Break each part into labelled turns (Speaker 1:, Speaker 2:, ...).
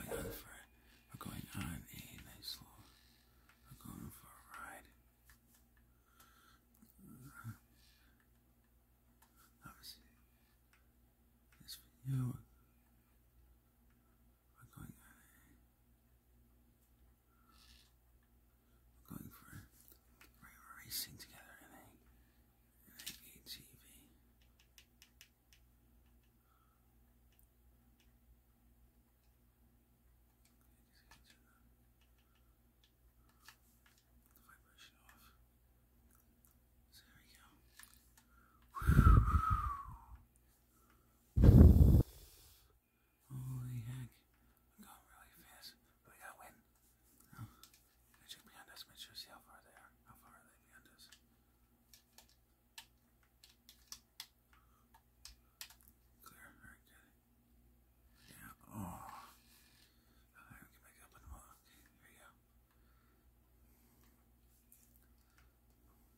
Speaker 1: We're going on uh, for we're going on a nice little. We're going for a this video we're going We're going for we're together in a in a ATV. Okay, turn the, vibration off. So here we go. Holy heck. going really fast, but we gotta win. Oh. behind us, make sure see how far they are. How far are they behind us? Clear, alright, good. Yeah, oh. Alright, we can make up in a here you go.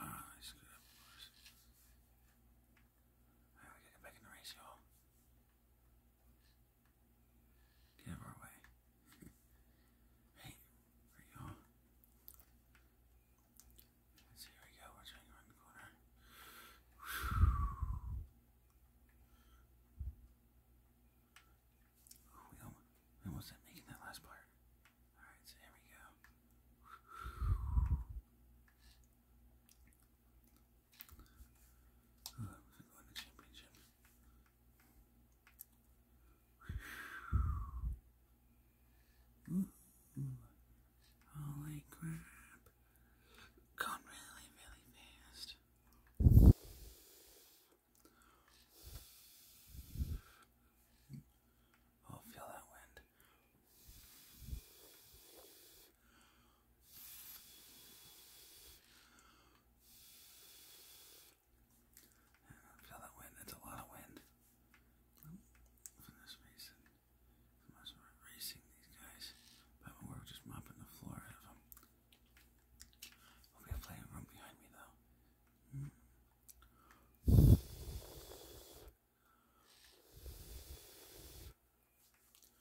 Speaker 1: Ah, oh, I screwed get back in the race, y'all. Get out our way. hey, where y'all? So here we go, we're turning around the corner. we almost, didn't make that last part. Alright, so here we go. Oh, Holy crap. Gone really, really fast. I oh, feel that wind. Feel that wind. That's a lot of wind. From this basin. I must racing these guys. But we're just mopping the floor out of them. Okay, play a room behind me, though. Hmm there we go.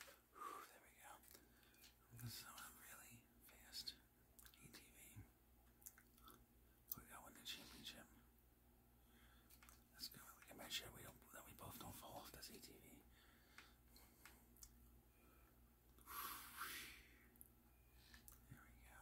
Speaker 1: I'm gonna really fast. ATV. We got win the championship. Let's make sure we don't that we both don't fall off this ATV. There we go.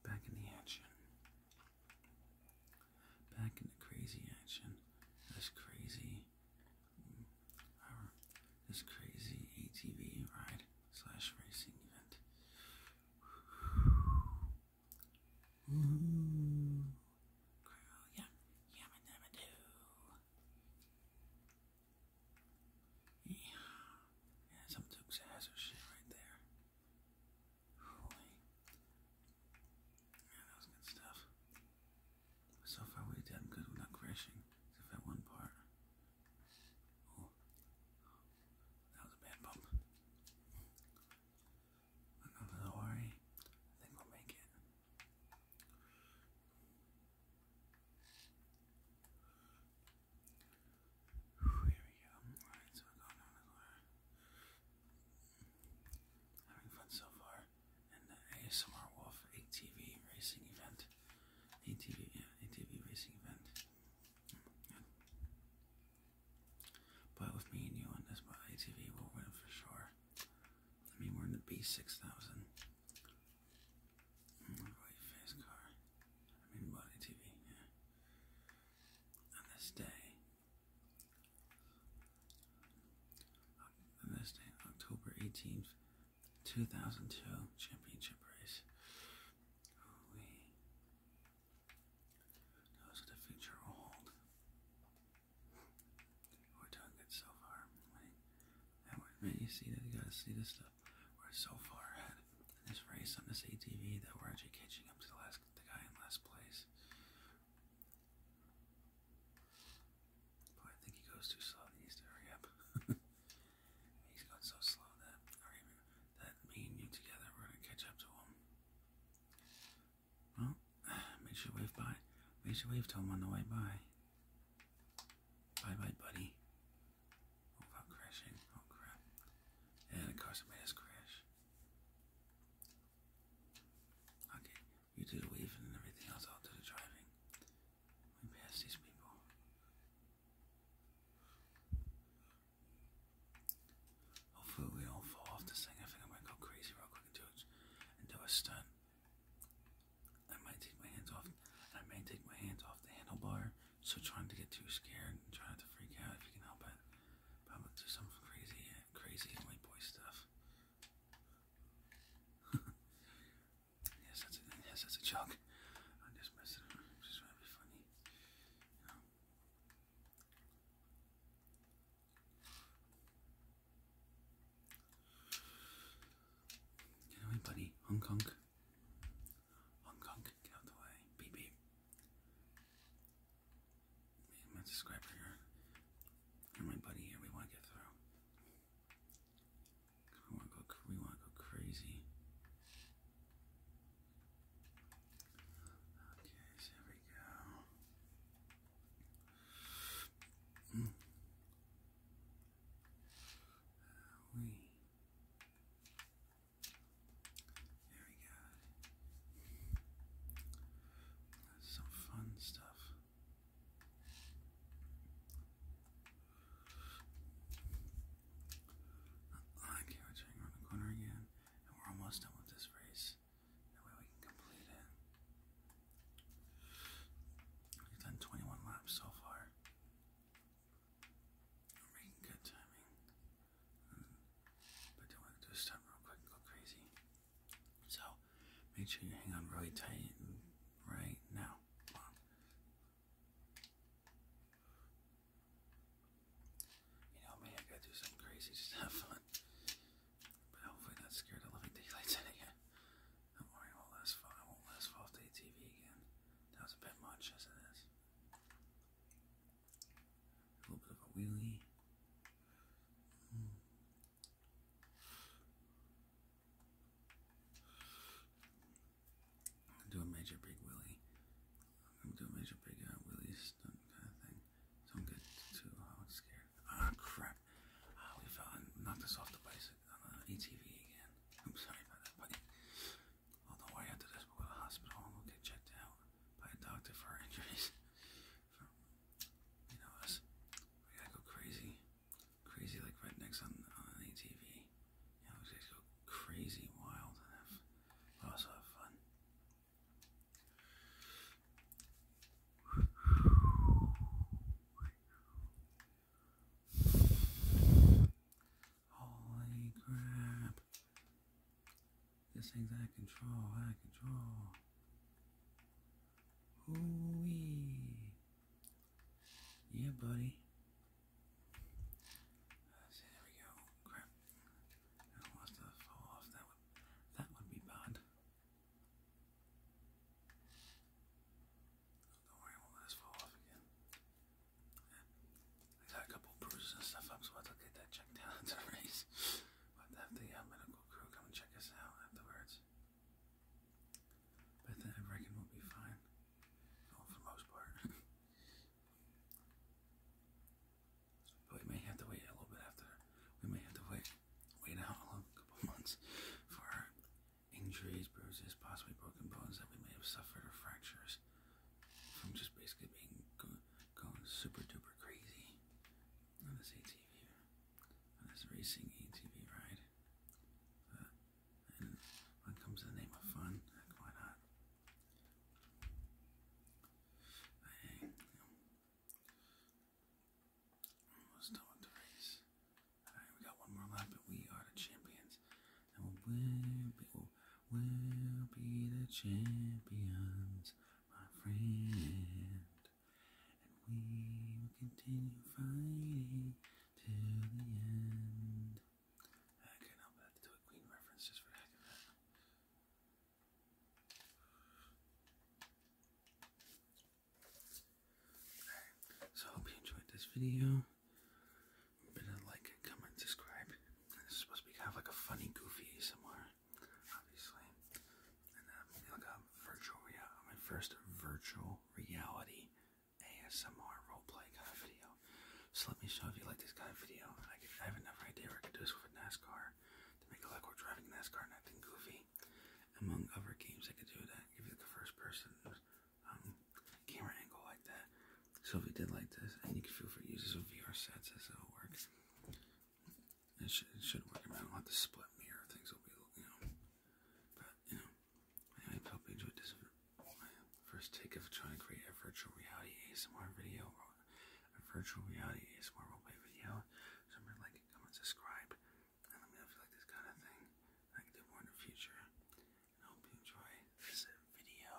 Speaker 1: Back in the action. Back in the crazy action. This crazy, this crazy ATV ride slash racing event. Ooh. yeah, yamma dabba doo. Yeah, yeah, some Dukes of Hazzard shit right there that was good stuff. So far we did good without crashing, except that one part. that was a bad bump. Don't worry, I think we'll make it. here we go. Having fun so far. And the ASMR Wolf ATV racing event. ATV, yeah, ATV racing event. But with me and you on this ATV, we'll win for sure. I mean, we're in the B6000. White face car. I mean, body TV, yeah. On this day, this day, October 18th, 2002, championship race. Holy. Those are the future old. We're doing good so far. man, you see that? You gotta see this stuff. We're so far ahead in this race on this ATV that we're actually catching up to the last the guy in last place. I think he goes too slow and he needs to hurry up. He's so slow that, that me and you together, we're going to catch up to him. Well, make sure you wave by. Make sure you wave to him on the way by. Bye bye, buddy. Oh, I'm crashing. Oh, crap. And of course, it made us crash. Okay, you do the weaving and everything else, I'll do the driving. We pass these people. Hopefully we don't fall off this thing. I think I might go crazy real quick and do, it, and do a stunt. I might take my hands off. I may take my hands off the handlebar. So trying to get too scared and trying to freak out if you can help it. I'm gonna do some crazy, crazy white boy stuff. yes, that's a joke. I'm just messing just trying to be funny, you know. Get away, buddy. Hong Kong. Hong Kong, get out the way. Beep beep my subscriber here, my buddy here, we want to get through. We want to go. We want to go crazy. Okay, here we go. Hmm. Uh, we. There we go. That's some fun stuff. Line carriage around the corner again, and we're almost done with this race. That way we can complete it. We've done 21 laps so far. good timing. But do want to do a real quick go crazy. So make sure you hang on really tight right now. You know me, I gotta do something crazy just have fun. But hopefully not scared of living daylights in again. Don't worry, won't last fall won't last fall off the again. That was a bit much as it is. A little bit of a wheelie. I'm do a major big wheelie. I'm do a major big uh, wheelie stunt kind of thing. Don't get too uh, scared. Ah, crap. Ah, we fell and knocked us off the bicycle ATV again. I'm sorry about that, buddy. Although I after this, we go to the hospital and we get checked out by a doctor for injuries you know us. We gotta go crazy, crazy like rednecks on on an ATV. You know, we got go crazy wild and also have fun. Holy crap! This thing's out of control, out of control. Ooh-wee. Yeah, buddy. there we go. Crap. I lost fall off. That would, that would be bad. Don't worry, won't let us fall off again. I got a couple bruises and stuff up, so I'll get that checked out. It's a race but have the uh, medical crew come check us out afterwards. But then I reckon we'll be fine. for most part. but we may have to wait a little bit after. We may have to wait, wait out a little, couple months for injuries, bruises, possibly broken bones that we may have suffered, or fractures from just basically being going super duper crazy on this ATV, on this racing ATV ride. But, when it comes to the name of fun, why not? I you know, almost done with race. Alright, we got one more lap, but we are the champions. And we'll be, we'll be the champions my friend. And we will continue fighting till the end. I cannot let to a Queen reference just for heck of it. so I hope you enjoyed this video. Bit of like, comment, subscribe. supposed to be kind of like a funny, goofy somewhere obviously. And um, look up virtual reality, my first virtual reality ASMR roleplay kind of video. So let me show if you like this kind of video. I, have another idea I could do this with NASCAR to make it look driving NASCAR and goofy. Among other games I could do that, give you the first person um, camera angle like that. So if you did like this, and you can feel free to use this VR sets, as how it works. It should, work. I, mean, I don't have to split mirror. Things will be, you know. But, you know, I hope you enjoyed this first take of trying to create a virtual reality ASMR video. Or a virtual reality ASMR roleplay video. remember, like, comment, subscribe. And let me know like this kind of thing. I can do more in the future. I hope you enjoy this video.